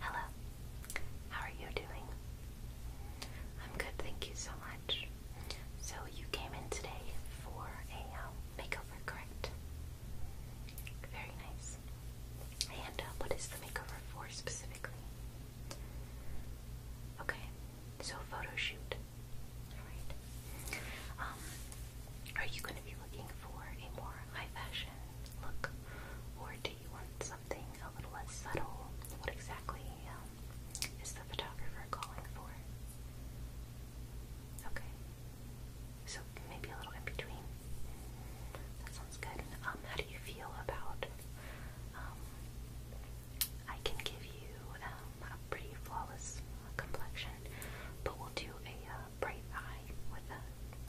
Hello, how are you doing? I'm good, thank you so much. So, you came in today for a um, makeover, correct? Very nice. And uh, what is the makeover for specifically? Okay, so photo shoot. Alright. Um, are you going to be looking for a more high fashion look? Or do you want something a little less subtle? What exactly um, is the photographer calling for? Okay. So maybe a little in between. That sounds good. Um, how do you feel about? Um, I can give you um, a pretty flawless complexion, but we'll do a uh, bright eye with a,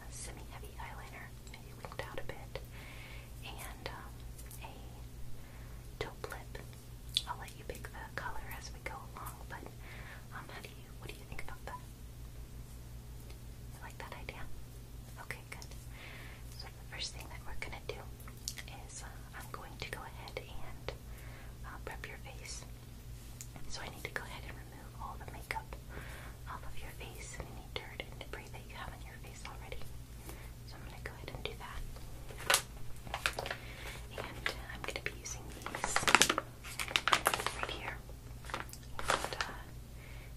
semi-heavy eyeliner, maybe winked out a bit, and um, a taupe lip. I'll let you pick the color as we go along, but um, what do you think about that? You like that idea? Okay, good. So the first thing that we're gonna do is uh, I'm going to go ahead and uh, prep your face. So I need to go ahead and remove all the makeup off of your face and any dirt and debris that you have on your face already. So I'm gonna go ahead and do that. And I'm gonna be using these right here. Uh,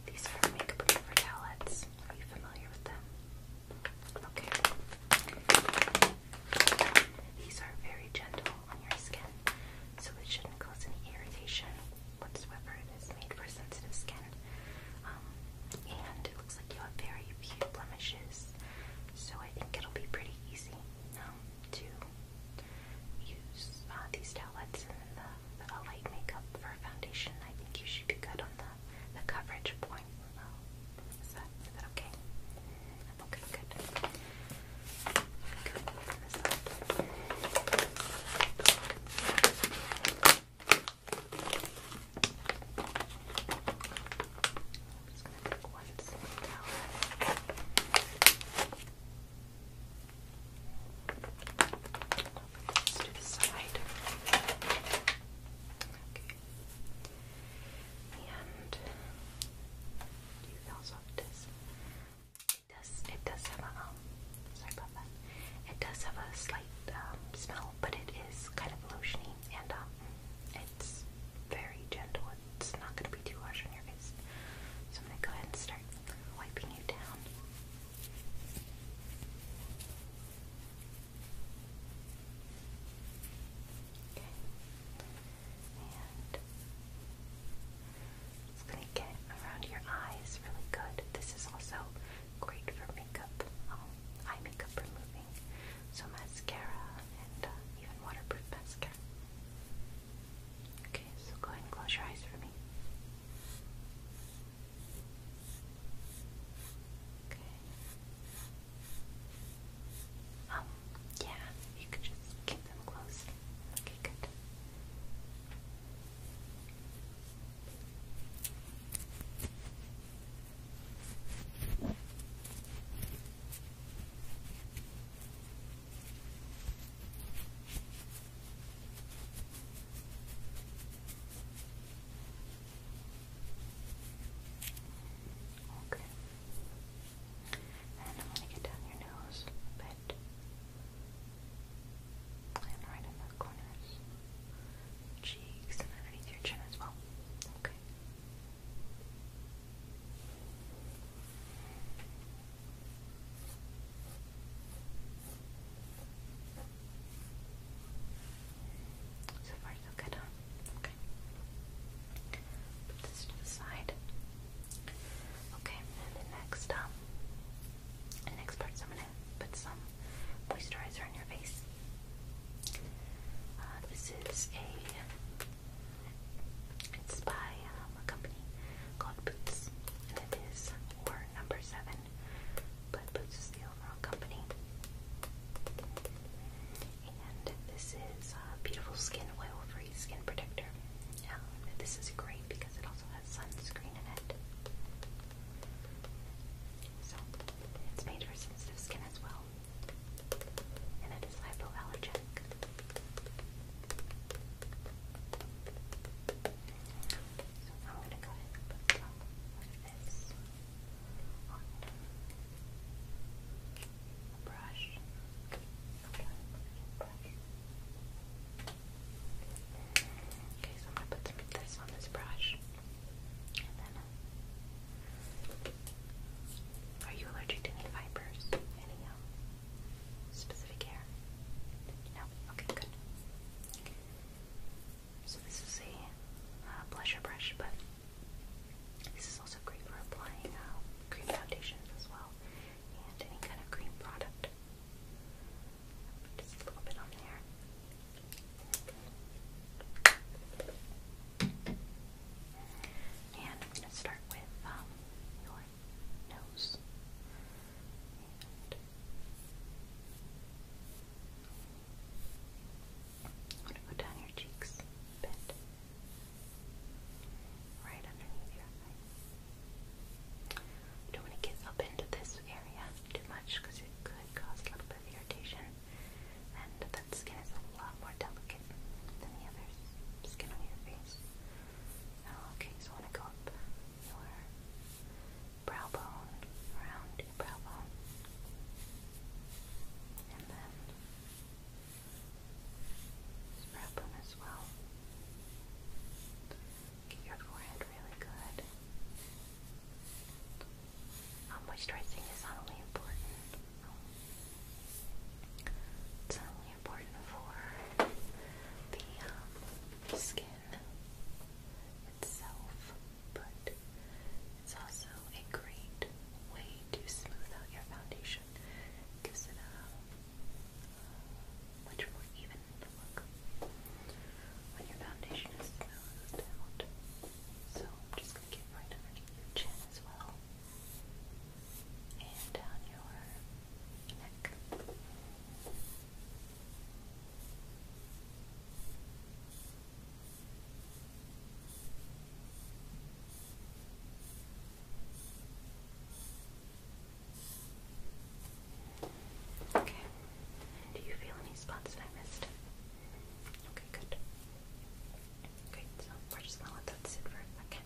these are makeup remover towelettes. Are you familiar with them? Okay. These are very gentle on your skin, so it shouldn't cause any irritation whatsoever. It is made for sensitive skin. Um, and it looks like you have very few blemishes, so I think it'll be pretty easy. Um, to use uh, these towelettes and then the, the, a light makeup for foundation. I think you should be good on the, the coverage point. Is that, is that okay? Okay, good. Good. Open this up. I'm just going to take one single towel. Let's do the side. Okay. And do you feel soft It does it does have a um, sorry about that. It does have a slight um, smell, but it is kind of lotiony and um, it's very gentle. It's not gonna be too harsh on your face. So I'm gonna go ahead and start wiping you down. it's going to get around your eyes really good. This is also great for makeup, um, eye makeup removing. So mascara and uh, even waterproof mascara. Okay, so go ahead and close your eyes for me. Okay. Um, yeah, you can just keep them closed. Okay, good. Okay. And I'm going to get down your nose bit. And right in the corners, cheeks, and underneath your chin as well. Okay. So far, so good, Okay. Put this to the side. Okay, and then next, um, next part, I'm gonna put some moisturizer on your face. Uh, this is a, it's by um, a company called Boots, and it is number seven, but Boots is the overall company. And this is uh, beautiful skin oil-free skin protector. Um, this is great because it also has sunscreen in it. So it's made for sensitive skin as well, and it is hypoallergenic. So I'm going to go ahead and put some of this on a brush. Okay, so I'm going to put some of this on this brush. Uh, are you allergic to any fibers? Uh, specific hair? No? Okay, good. So this is a uh, brush, but this is also great for applying uh, cream foundations as well, and any kind of cream product. Just a little bit on there. And I'm going to start with um, your nose. And I'm going to go down your cheeks Right underneath your eye. don't want to get up into this area too much because it could cause a little bit of irritation. And that skin is a lot more delicate than the other skin on your face. Okay, so I want to go up your brow bone, around your brow bone, and then brow bone as well. Get your forehead really good. Um, moisturizing is not only important really important for the um, skin itself, but it's also a great way to smooth out your foundation. gives it a um, much more even look when your foundation is smoothed So I'm just going to get right underneath your chin as well. And down your neck. Okay. Do you feel any spots that I missed? Okay, good. Okay, so we're just gonna let that sit for a second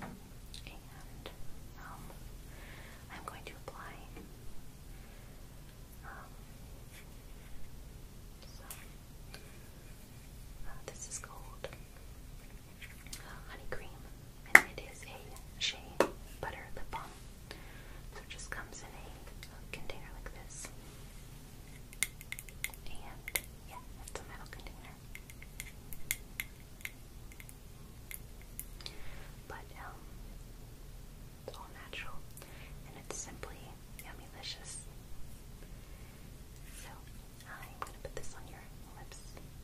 and um, I'm going to apply. Um, so uh, this is called uh, Honey Cream, and it is a shea butter lip balm. So it just comes in a, a uh, container like this, and yeah, it's a metal container. But um, it's all natural and it's simply yummy licious. So I'm gonna put this on your lips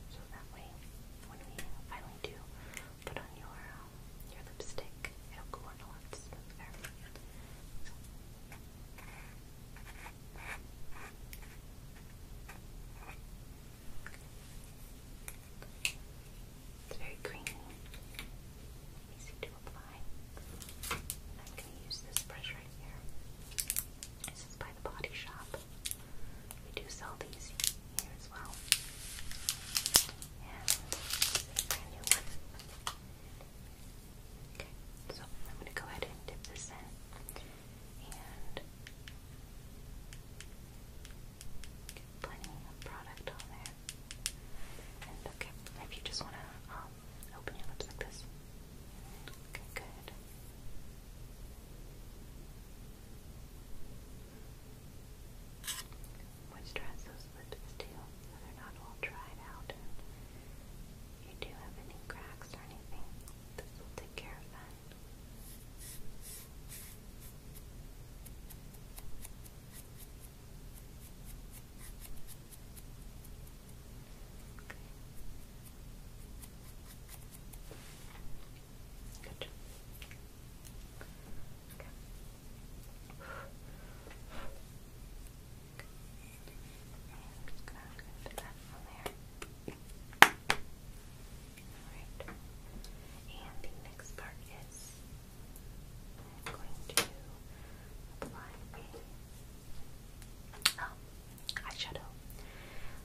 so that way when we finally do put on your um, your lipstick, it'll go on a lot smoother. It's very creamy, easy to apply. I'm going to use this brush right here. This is by the Body Shop. We do sell these here as well. And brand new one. Okay, so I'm going to go ahead and dip this in and get plenty of product on there. And okay, maybe you just want to um, open your lips like this. Okay, good. Moisturize those lips too, so they're not all dried out. if you do have any cracks or anything, this will take care of that. Good. Okay. I'm just gonna put that on there. Okay. Alright. And the next part is going to apply oh, eyeshadow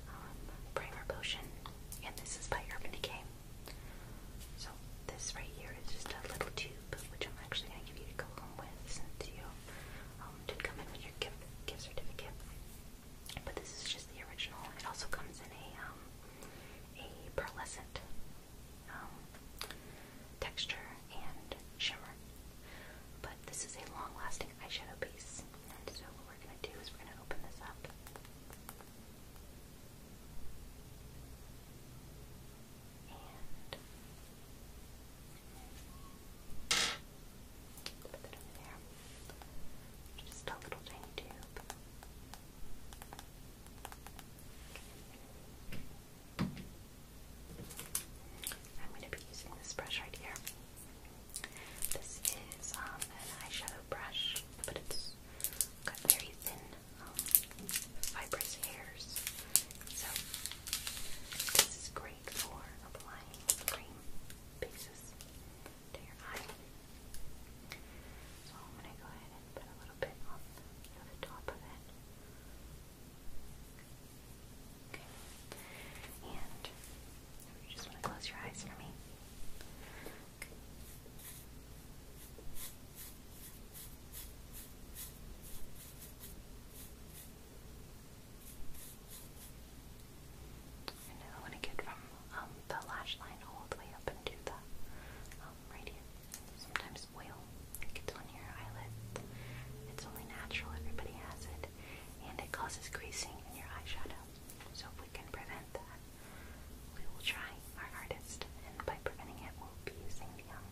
um, primer potion. And this is by Urban Decay. So this right here is just a little tube, which I'm actually going to give you to go home with since you um, did come in with your gift, gift certificate. But this is just the original. It also comes in a um, a pearlescent um, texture and shimmer. But this is a long-lasting eyeshadow base, and so what we're gonna do is we're gonna open this up. And put that over there. Just a little tiny tube. I'm going to be using this brush right here. This is um, an eyeshadow brush, but it's got very thin, um, fibrous hairs. So, this is great for applying cream bases. So I'm going to go ahead and put a little bit on the, top of it. Okay. And you just want to close your eyes for me. I want to get from um, the lash line all the way up into the um, right Sometimes oil gets on your eyelids. It's only natural, everybody has it. And it causes greasing in your eyeshadow. So if we can prevent that, we will try our hardest. And by preventing it, we'll be using the, um,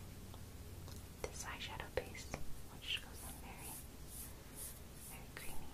this eyeshadow base, which goes on very, very creamy.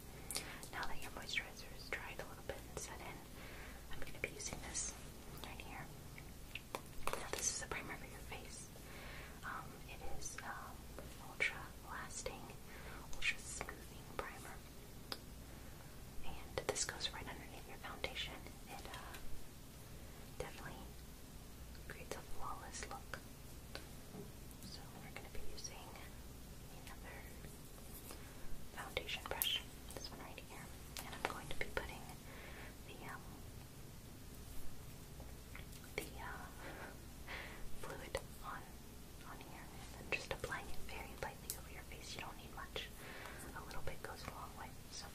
Now that your moisturizer is dried a little bit and set in, I'm going to be using this right here. Now this is a primer for your face. Um, it is um, ultra lasting, ultra smoothing primer. And this goes right underneath your foundation. It uh, definitely creates a flawless look. So we're going to be using another foundation brush, this one right here, and I'm going to be putting the um, the uh, fluid on on here, and then just applying it very lightly over your face. You don't need much; a little bit goes a long way. So.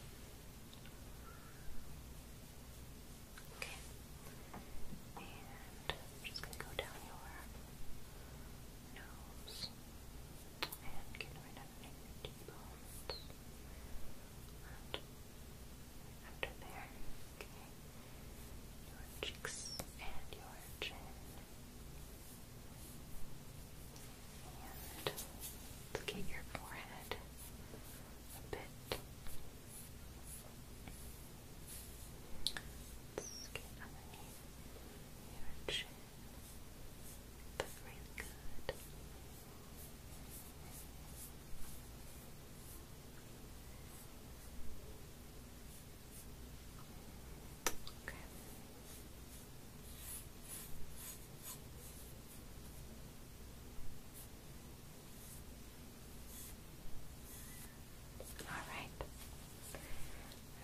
Okay, and just going to go down your nose and get rid of any t there, okay, your cheeks and your chin and look your forehead a bit get underneath your chin. But really good. Okay. Alright.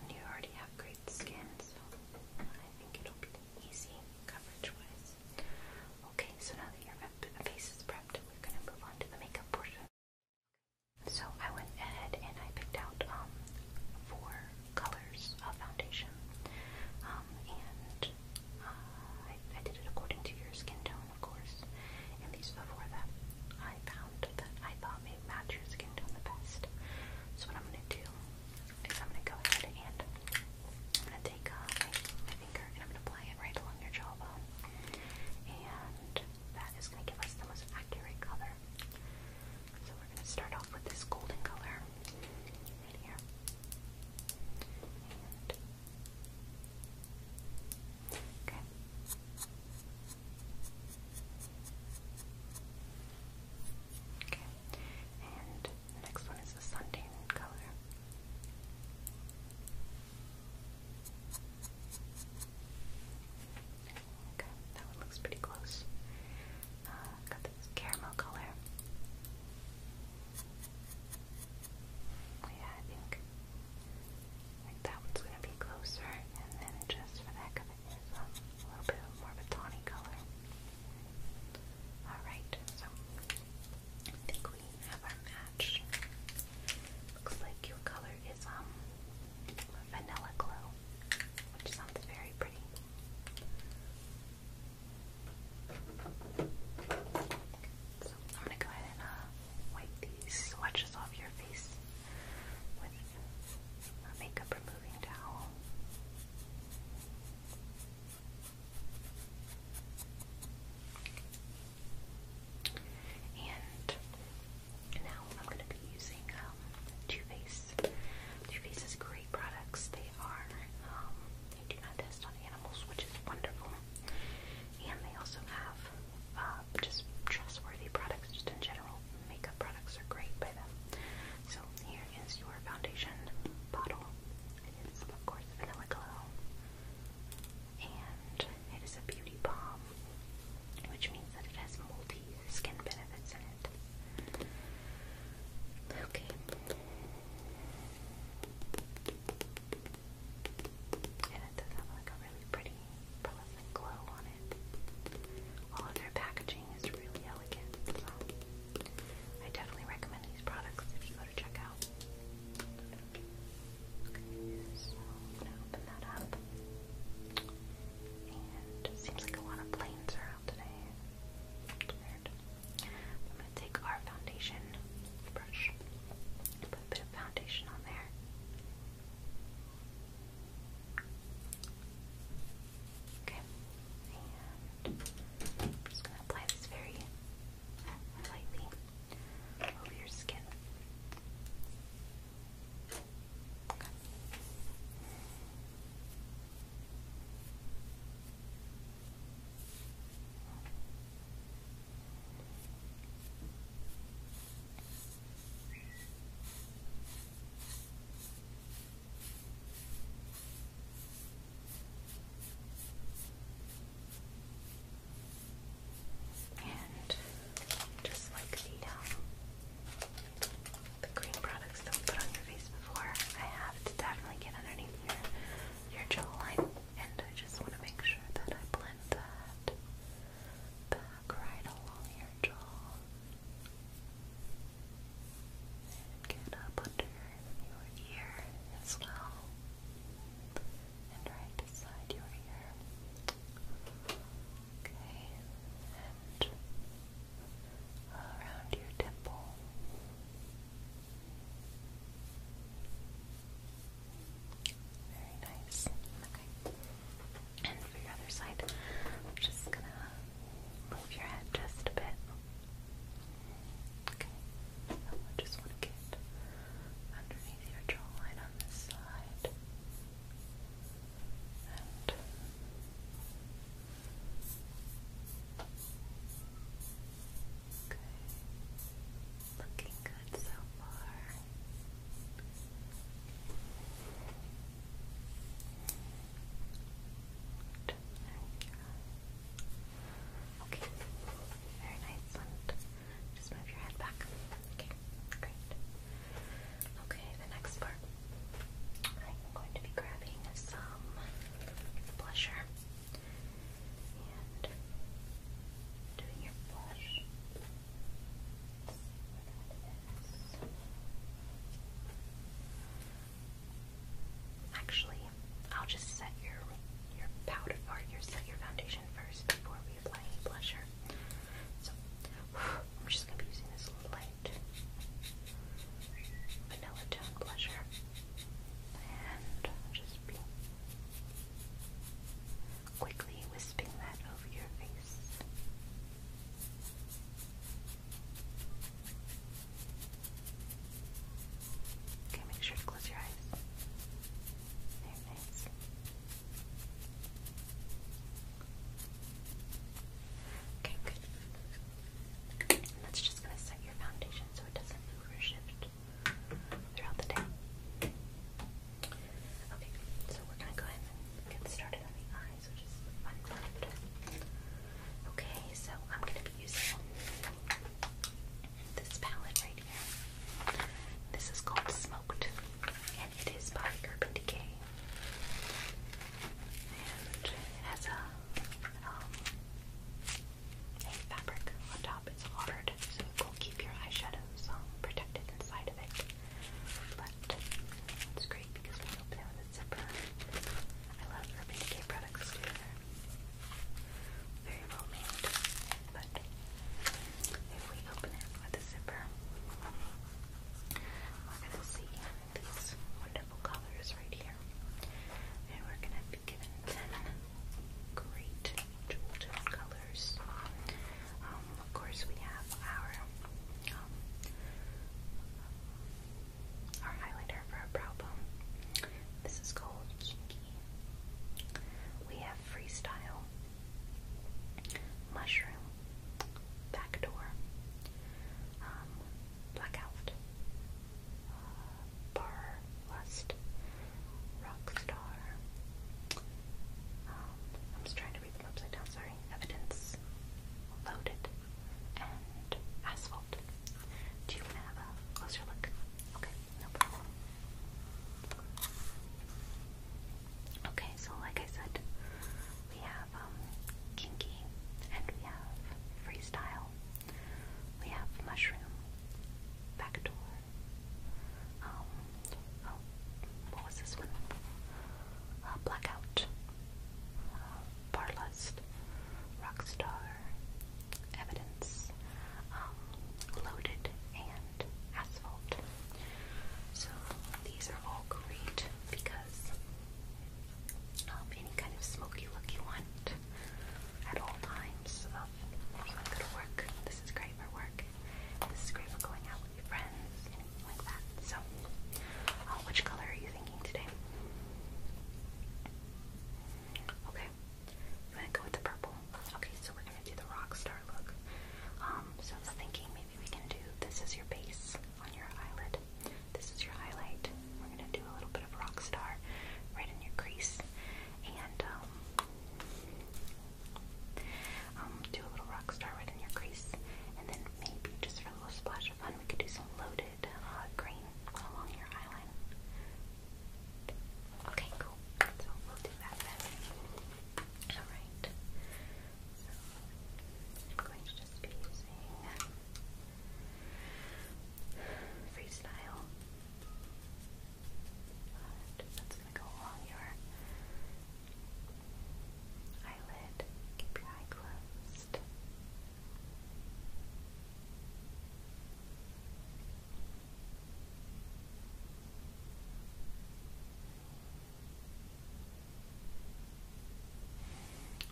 And you already have great skin, so I think it'll be easy coverage wise. Okay, so now that your face is prepped, we're going to move on to the makeup portion. So I went ahead and I picked out um, four colors of foundation. Um, and uh, I, I did it according to your skin tone, of course. And these before that, I found that I thought match your skin tone the best. So what I'm gonna do is I'm gonna go ahead and I'm gonna take my, finger and I'm gonna apply it right along your jawbone, and that is gonna give us the most accurate color. So we're gonna start off with this golden color right here, okay. Okay, and next one is the suntan color. Okay, that one looks pretty close. Uh, got this caramel color. yeah, I think that one's gonna be closer, and then just for that, heck of a little bit more of a tawny color. Alright, so I think we have our match. Looks like your color is um vanilla glow, which sounds very pretty. So I'm gonna go ahead and uh, wipe these swatches off your face with a makeup removing towel. And now I'm going to be using um, Too Faced. Too Faced is great products. They are, um, they do not test on animals, which is wonderful. And they also have uh, just trustworthy products, just in general. Makeup products are great by them. So here is your foundation bottle. It is, of course, vanilla glow, and it is a beauty balm, which means that it has multi-skin benefits in it. Okay. And it does have like a really pretty glow on it. All of their packaging is really elegant, I definitely recommend these products if you go to check Okay, so gonna open that up. And seems like a lot of planes are today. weird. I'm gonna take our foundation brush put a bit of foundation on there. Okay, and I'm just going to apply this very lightly over your skin. And just like um, the, green products that we put on your face before, I have to definitely get underneath your, jawline. And I just want to make sure that I blend that work right along your jaw. get up under your ear as well. And right beside your ear. Okay. And around your temple. Very nice. Okay. And for your other side, I'm just gonna move your head just a bit. Okay, just want to get underneath your jawline on this side. Okay. Looking good so far. Okay. Very nice. just move your head back. Okay. Great. Okay, the next part. I'm going to be grabbing some blusher and doing your blush. Actually, I'll just set your your powder or your set your foundation first before we apply any blusher. So I'm just gonna be using this light vanilla tone blusher, and just quickly wisping that over your face. Okay, make sure to close your eyes. Very nice. Okay, good. that's just going to set your foundation so it doesn't move throughout the day. Okay, so we're going to go ahead and get started on the eye. Okay, so I'm going to be using this palette right here. This is called Smoked, and it is by Urban Decay. And it has a, um, fabric on top. It's hard, so it will keep your eyeshadows um, protected inside of it. But it's because we opened it with a zipper. I love Urban Decay products too. Very well But if we open it with a zipper, we're gonna see these wonderful colors right here. And we're gonna be given ten great jewel tone of course, we have our um, our highlighter for our brow bone. This is called Kinky. We have Freestyle, Mushroom, Backdoor, um, Blackout, uh, Bar Lust, Rockstar. Um, I'm just trying to sorry. Evidence, loaded, and asphalt. Do you want to have a closer look? Okay, no problem. Okay, so like I said, we have um, kinky, and we have freestyle. We have mushroom, backdoor. Um, oh, what was this one? Uh, blackout, uh, Barlust, Rockstar, Evidence, um, Loaded, and Asphalt. So these are all great because um, any kind of smoky look you want at all times of if you want to go to work, this is great for work. This is great for going out friends, like that. So, uh, which color are you thinking today? Okay, I'm gonna go with the purple. Okay, so we're gonna do the rock star look. Um, so I was thinking maybe we can do this is your base on your eyelid. This is your highlight. We're gonna do a little bit of rock star right in your crease, and um, um do a little rock star right in your crease, and then maybe just for a little splash of fun, we could do some loaded uh, green along your eyeliner. Okay, cool. So we'll do that then. Alright. So I'm going to just be using Freestyle. that's going to go along your eyelid. Keep your eye closed.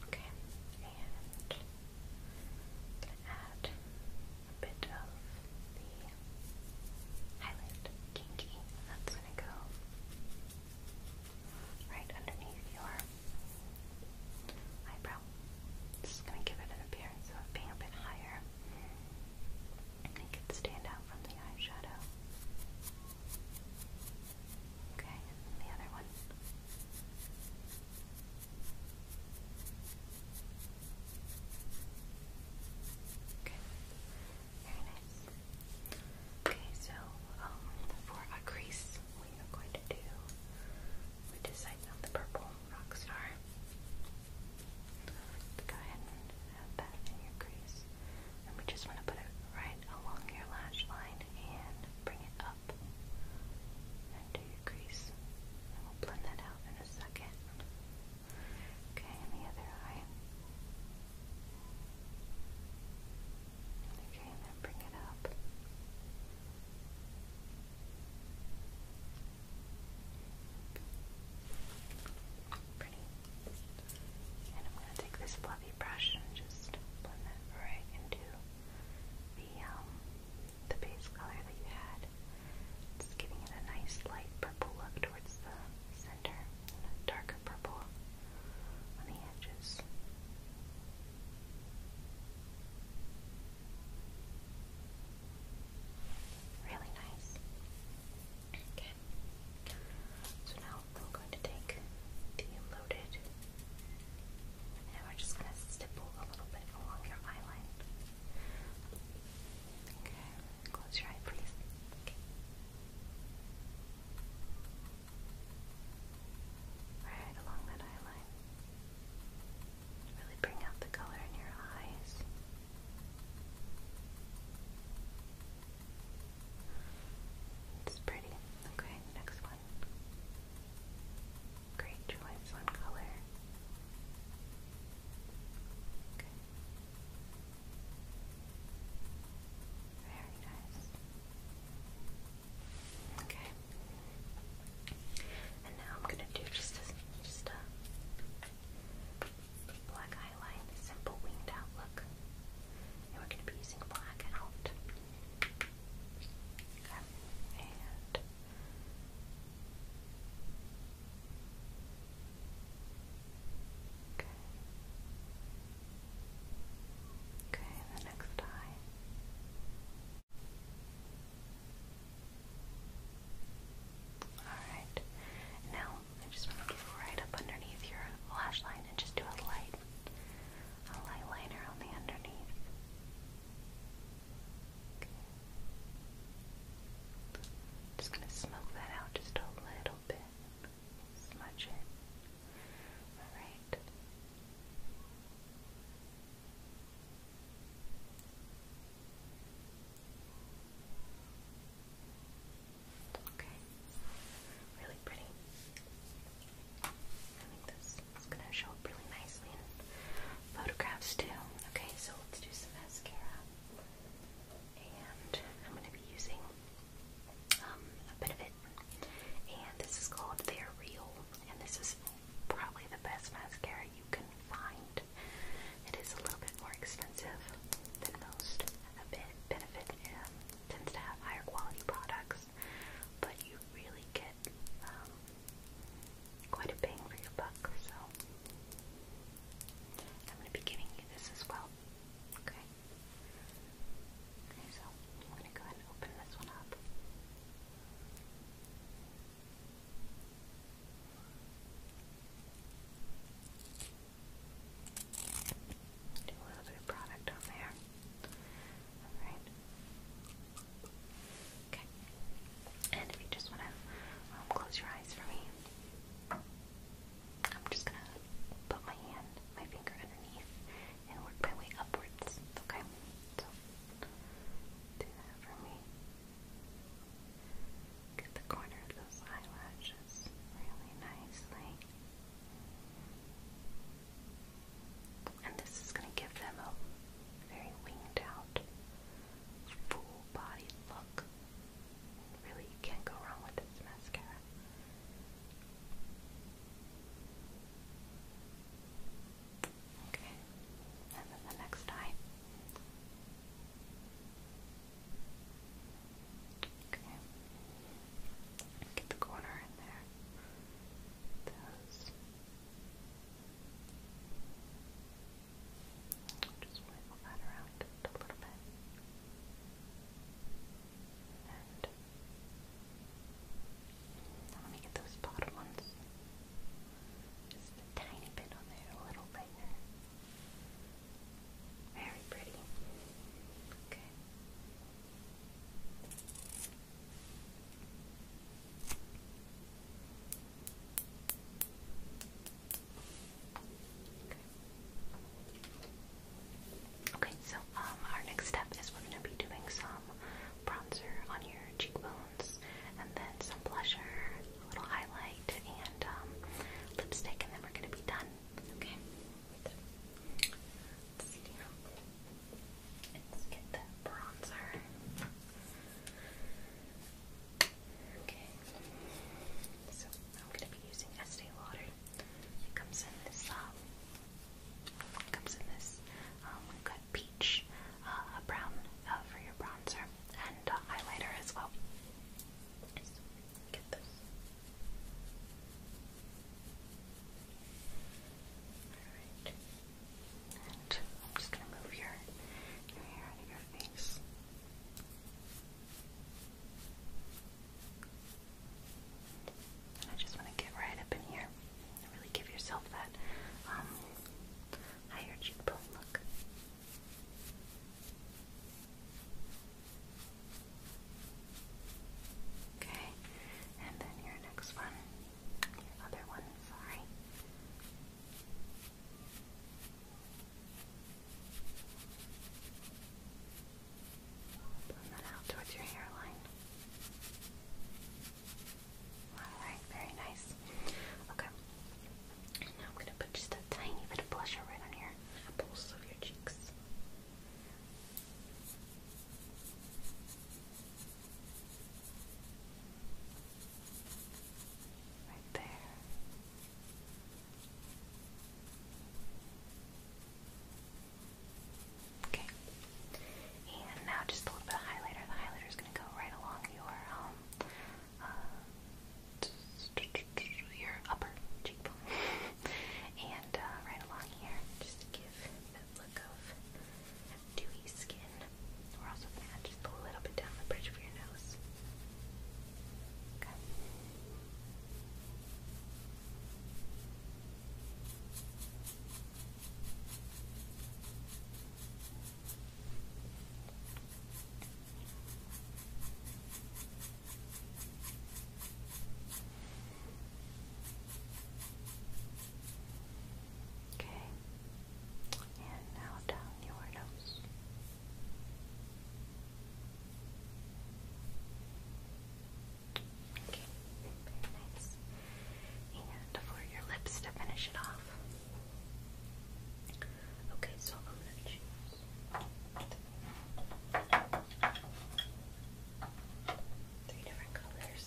Okay, and I'm going to add a bit of the highlight kinky, that's going to go right underneath your eyebrow. This going to give it an appearance of being a bit higher. Make it stand out from the eyeshadow. Okay, the other one. Okay. Okay, so um, for our crease, we are going to do, we decided on the purple rock star. Go ahead and have that in your crease. And we just want to put it right along your lash line and bring it up into your crease. And we'll blend that out in a second. Okay, and the other eye. Okay, and then bring it up. Pretty. And I'm going to take this fluffy brush and just blend that right into the um, the base color that you had. It's giving it a nice light purple look towards the center and a darker purple on the edges. Really nice. Okay. So now I'm going to take the loaded and we're just going to stipple a little bit along your eyeline. Okay. Close your eye, please. Right along that eye Really bring out the color in your eyes. It's pretty. Okay, next one. Great choice on color. Very nice. Okay. And now I'm gonna do just a, black highlight, simple winged out look. And we're gonna be using black out. Okay. Okay, the next eye. Alright, now I just want to get right up underneath your lash line and just do a light, a light liner on the underneath. Just going to smoke that out just a little bit smudge it. Alright. Okay. Really pretty. I think this is going to show up really nicely in photographs too. Okay, so let's do some mascara. And I'm going to be using um, a bit of it it. And this is called They're Real. And this is probably the best mascara you can find. It is a little bit more expensive than most. A bit benefit um, tends to have higher quality products, but you really get um, quite a bang for your buck. So I'm going to be giving you this as well. Okay. Okay, so I'm going to go ahead and open this one up. Do a little bit of product on there. Alright. Okay. And if you just want to um, close your eyes for me, I'm just going to put my hand, my finger underneath, and work my way upwards. Okay? So, for me. Get the corner of those eyelashes really nicely. And this is going to give them a very winged out, full body look. Really, you can't go wrong with this mascara. Okay, and then the next eye. Okay, get the corner in there. Those. Just wiggle that around a little bit. And now let me get those bottom ones. Just a tiny bit on there, a little bit. Very pretty. Okay. Okay. Okay, so um, our next step is we're going to be doing some bronzer on your cheekbones, and then some blusher, a little highlight, and um, lipstick, and then we're going to be done. Okay. Let's, get the bronzer. Okay. So I'm going to be using Estee Lauder it comes in this, it comes in this, um, um peach, uh, a brown uh, for your bronzer, and highlighter as well. get this. Alright. And I'm just gonna move your, your hair out of your face. I just want to get right up in here really give yourself that um, higher cheekbone look. Okay, and then your next one, your other one, sorry. Blend that out towards your hairline. Alright, very nice. Okay. now I'm going to put just a tiny bit of blusher right on your apples of your cheeks. Right there. Okay. And now just a little bit of highlighter. The highlighter is going to go right along your um uh, upper cheekbone and uh, right along here, just to give that look of dewy skin. We're also going to add just a little bit down the bridge of your nose. Okay. Okay, and now down your nose. Okay, very nice. And for your lips to finish it off. Okay, so I'm gonna choose three different colors.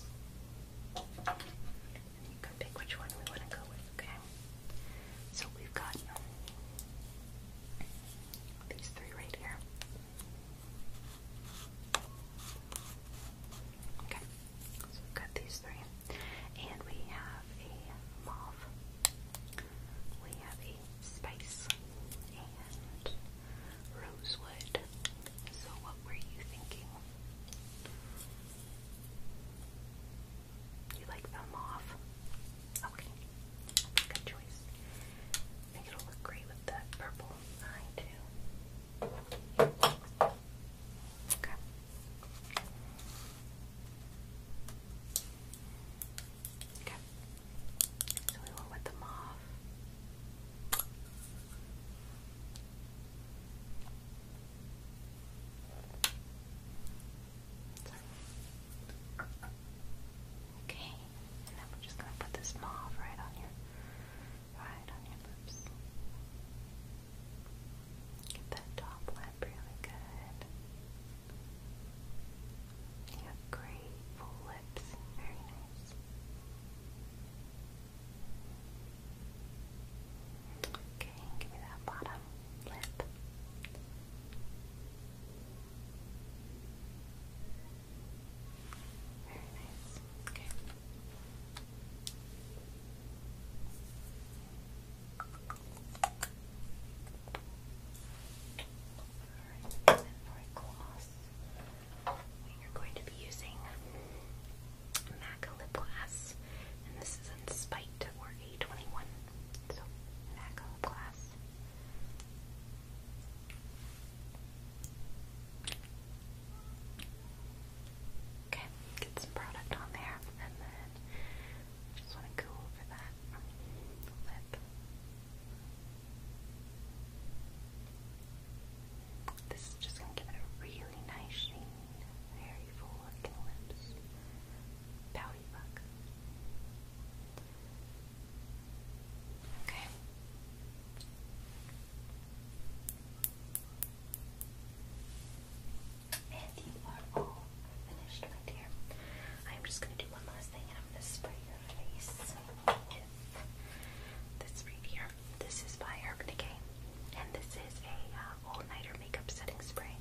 you can pick which one we want to go with, okay? So we've got these three right here. Okay, so we these three. And we have a mauve, we have a spice, and rosewood. So, what were you thinking? You like the mauve? Okay, good choice. I think it'll look great with that purple eye too. Okay. Okay. So we went with the mauve. Okay, and then we're just gonna put this mauve right on your right on your lips. Get that top lip really good. You have great full lips. Very nice. Okay, give me that bottom lip. Very nice. Okay. for a gloss, we are going to be using MAC Lip Glass, and this is in Spite or A21. So, MAC Lip Glass. Okay, get some product on there, and then just want to go over that lip. This is just going to give a really nice Very full looking lips. Pouty look. Okay. And you are all finished, my dear. I'm just going to do one last thing and I'm going to spray your face with this right here. This is by Urban Decay. And this is a uh, all-nighter makeup setting spray.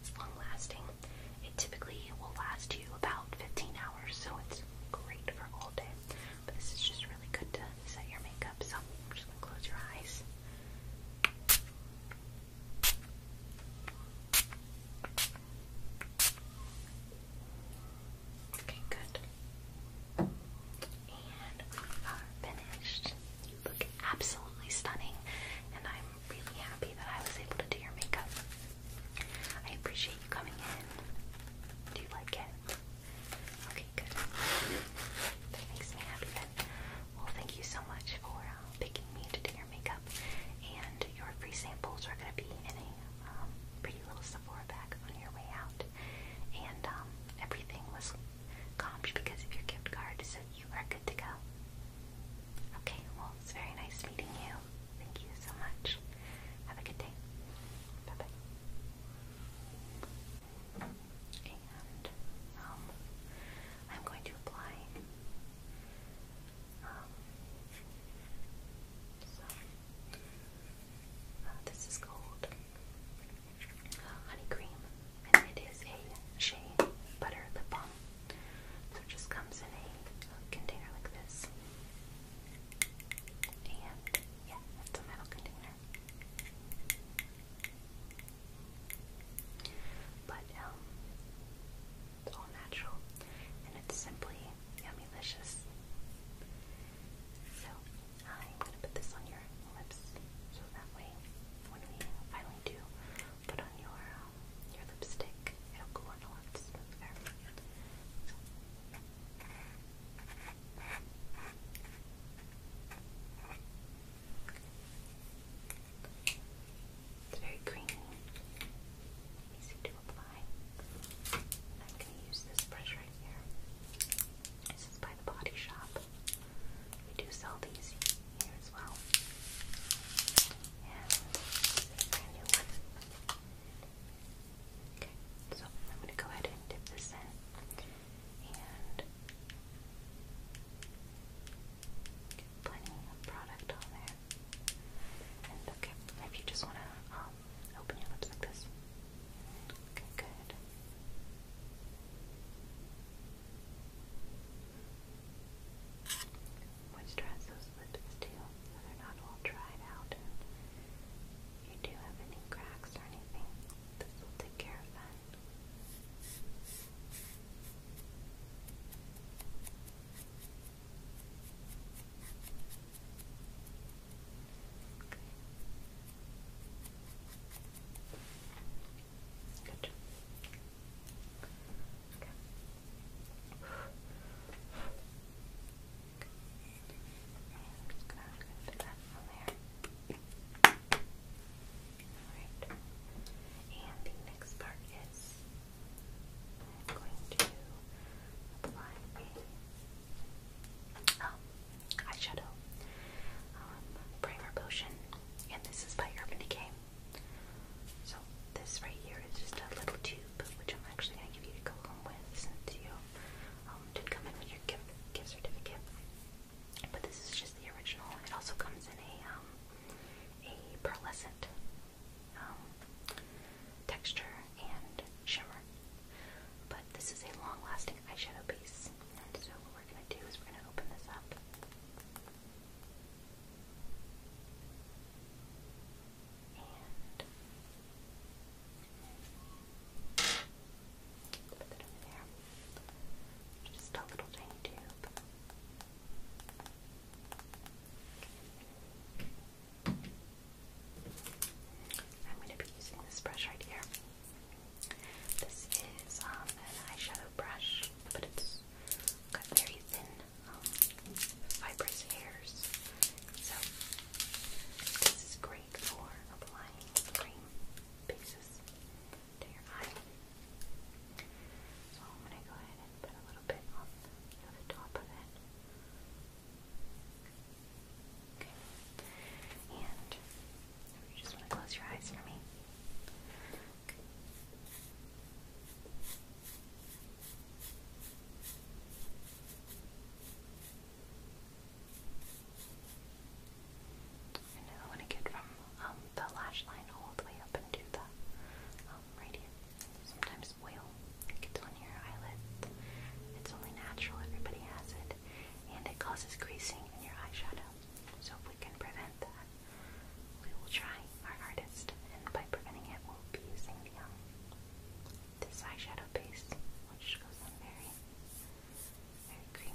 It's long-lasting. It typically will last you about 15 hours, so it's great for all day this is just really good to set your makeup, so i just close your eyes. Okay, good. And we are finished. You look absolutely stunning, and I'm really happy that I was able to do your makeup. I appreciate you coming in. Do you like it? Okay, good. That makes me happy then. Well, thank you so much for uh, picking me to do your makeup. And your free samples are going to be in a um, pretty little Sephora bag on your way out. And um, everything was comped because of your gift card, so you are good to go. Okay, well, it's very nice meeting you. Thank you so much. Have a good day. Bye bye. And um, I'm going to apply um, so uh, this is called uh, honey cream, and it is a shea butter lip balm. So it just comes in a container like this, yeah, that's a metal container. But um, it's all natural, and it's simply yummy So I'm gonna put this on your lips, so that way when we finally do put on your um, your lipstick, it'll go on a lot smoother. It's very creamy, easy to apply. I'm going to use this brush right here. This is by the Body Shop. We do sell these here as well. And this a brand new one so I'm going to go ahead and dip this in and plenty of product on there. And okay, if you just want to um, open your lips like this. good. Moisturize those lips too, they're not all dried out and you do have any cracks or anything, this will take care of that. Okay. Good. Okay. And the next part is going to apply a eyeshadow primer potion. And this is by Urban Decay. So this right here is just a little tube, which I'm actually going to give you to go home with since you did um, come in with your gift, certificate. But this is just the original. It also comes in a um, a pearlescent um, texture and shimmer. But this is a long-lasting eyeshadow base, and so what we're gonna do is we're gonna open this up. Just a little tiny tube. I'm going to be using this brush right here. This is um, an eyeshadow brush, but it's got very thin, um, fibrous hairs. So, this is great great applying cream bases to your eye. So I'm going to go ahead and put a little bit on the, top of it. Okay. And just close your eyes for me. Okay. And now want to get from um, the lash line all the way up into the um, radiant. Sometimes oil gets on your eyelids. It's only natural, everybody has it. And it causes creasing in your eyeshadow. So if we can prevent that, we will try our hardest. And by preventing it, we'll be using the, um, this eyeshadow paste, which goes on very very creamy.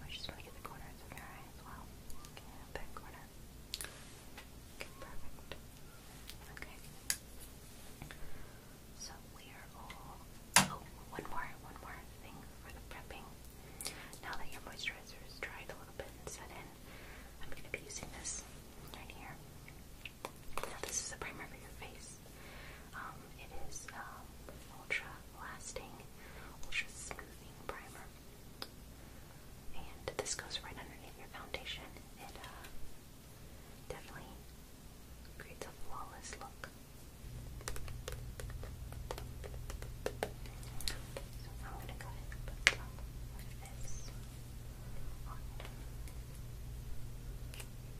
We're just gonna the corners of your eye as well. that corner. Okay, perfect. Okay. So we are all. Oh, one more, one more thing for the prepping. Now that your moisturizer is dried a little bit and set in, I'm going to be using this right here. Now this is a primer for your face. Um, it is um, ultra lasting, ultra smoothing primer, and this goes right underneath your foundation. It uh, definitely creates a flawless look. So I'm going to go ahead and put some of this on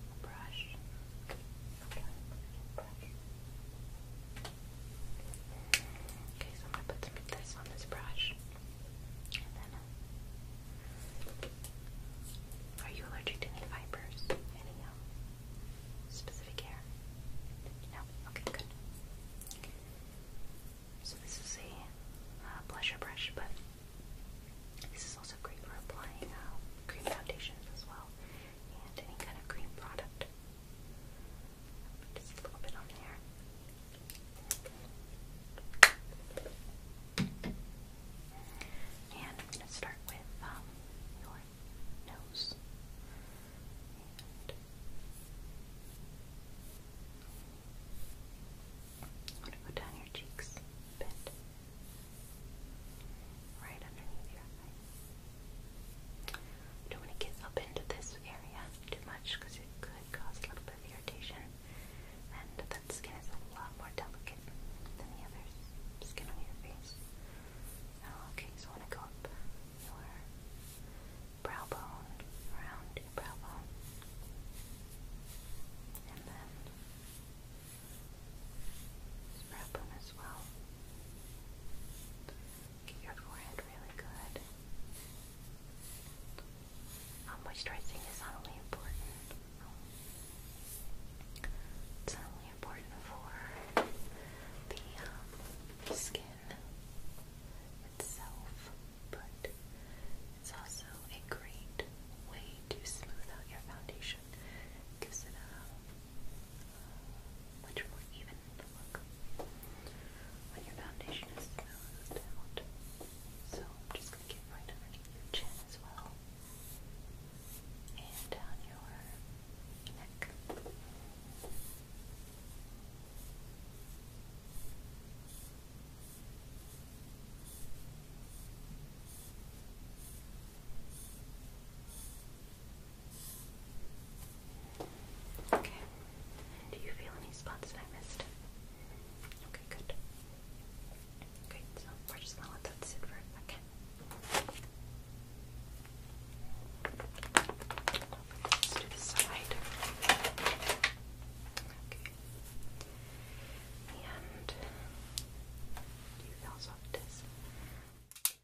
a brush. Okay, so I'm going to put some of this on this brush. Uh, are you allergic to any fibers? Anyhow? Um, Specific hair? No? Okay, good. So this is a uh, blusher brush, but this is also great for applying uh, cream foundations as well, and any kind of cream product. Just a little bit on there. And I'm going to start with um, your nose. I'm going to go down your cheeks bit. Right underneath your eye. don't want to get up into this area too much because it could cause a little bit of irritation. And that skin is a lot more delicate than the others. Skin on your face. Oh, okay, so I want to go up your brow bone, around your brow bone. And then brow bone as well. Get your forehead really good. moisturizing is not only important it's not only important for the um, skin itself, but it's also a great way to smooth out your foundation. gives it a uh, much more even look when your foundation is smoothed out. So I'm just going to get right underneath your chin as well and down your neck. Okay. Do you feel any spots that I missed? Okay, good. Great, so we're just gonna let that sit for a second. Let's do the side. Okay. And you feel soft It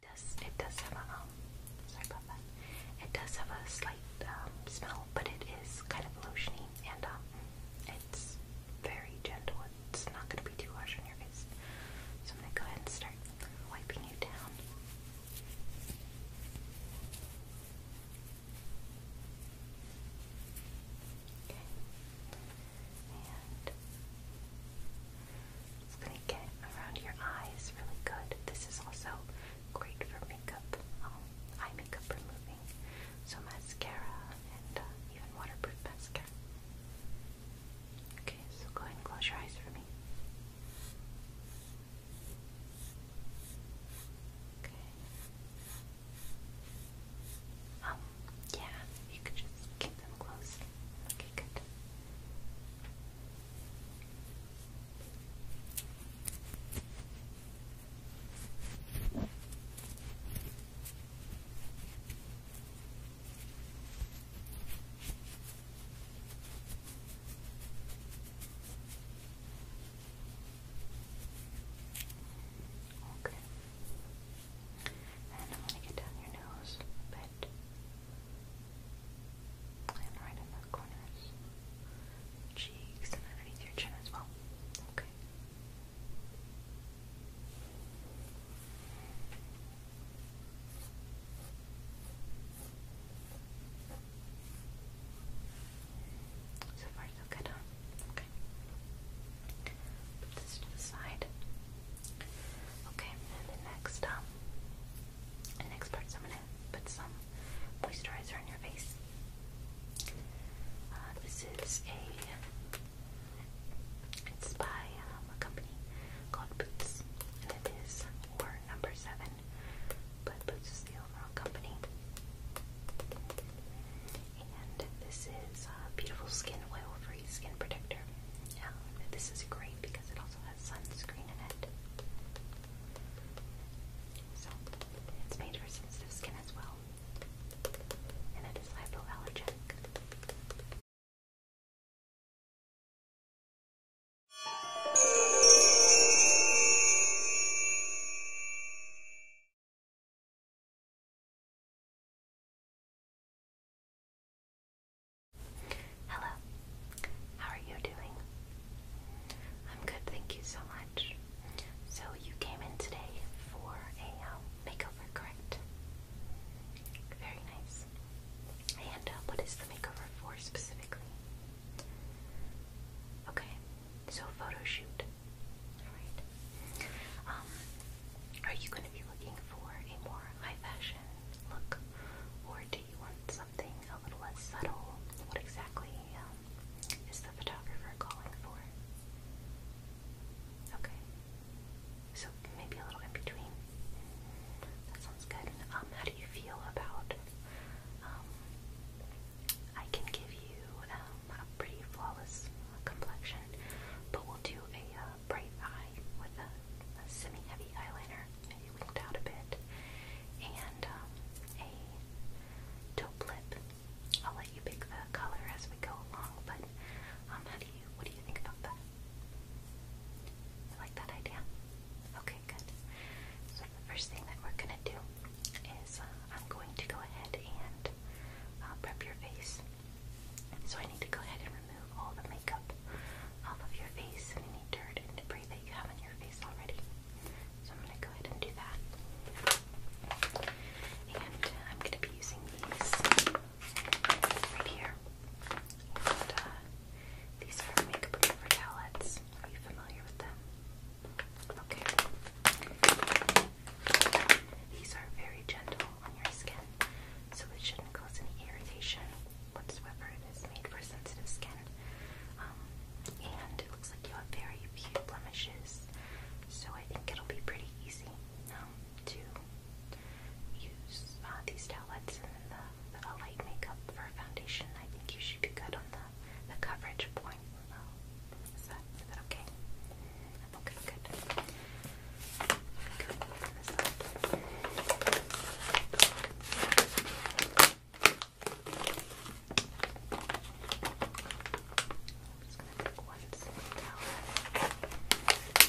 does it does have a um, sorry about that. It does have a slight um, smell, but it is kind of lotiony and um it's very gentle it's not going to be too harsh on your face. So I'm going to go ahead and start wiping you down. Okay. And it's going to get around your eyes really good. This is also great for makeup, um, eye makeup removing. So mascara and uh, even waterproof mascara. Okay, so go ahead and close your eyes for me. Okay. Oh, yeah, you could just keep them closed. Okay, good. Okay. And I'm going to get down your nose a bit. And right in the corners, cheeks, and underneath your chin as well. Okay. So far, so good, Okay. Put this to the side. Okay, and next, um, next part, I'm gonna put some moisturizer on your face. Uh, this is a it's by um, a company called Boots, and it is or number seven, but Boots is the overall company. And this is a beautiful skin oil-free skin protector. Um, this is great because it also has sunscreen in it. So it's made for sensitive skin as well, and it is hypoallergenic. Hello, how are you doing? I'm good, thank you so much. So, you came in today for a um, makeover, correct? Very nice. And uh, what is the makeover for specifically? Okay, so photo shoot. Alright. Um, are you going to be looking for a more high fashion look, or do you want something a little less subtle? What exactly um, is the photographer calling for? Okay. So maybe a little in between. That sounds good. Um, how do you feel about? Um, I can give you um, a pretty flawless complexion, but we'll do a uh, bright eye with a, semi-heavy eyeliner, maybe winked out a bit, and um, a taupe lip. I'll let you pick the color as we go along, but um, how do you what do you think about that? You like that idea? Okay, good. So the first thing that we're gonna do is uh, I'm going to go ahead and uh, prep your face. So I need to go ahead and remove all the makeup off of your face and any dirt and debris that you have on your face already. So I'm gonna go ahead and do that. And I'm gonna be using these right here. And, uh, these are makeup remover towelettes. Are you familiar with them? Okay. These are very gentle on your skin, so it shouldn't cause any irritation whatsoever. It is made for sensitive skin. Um, and it looks like you have very few blemishes, so I think it'll be pretty easy um, to use uh, these towelettes and then the, light makeup for foundation. I think you should be good on the, the coverage point. Is that okay? Okay, good.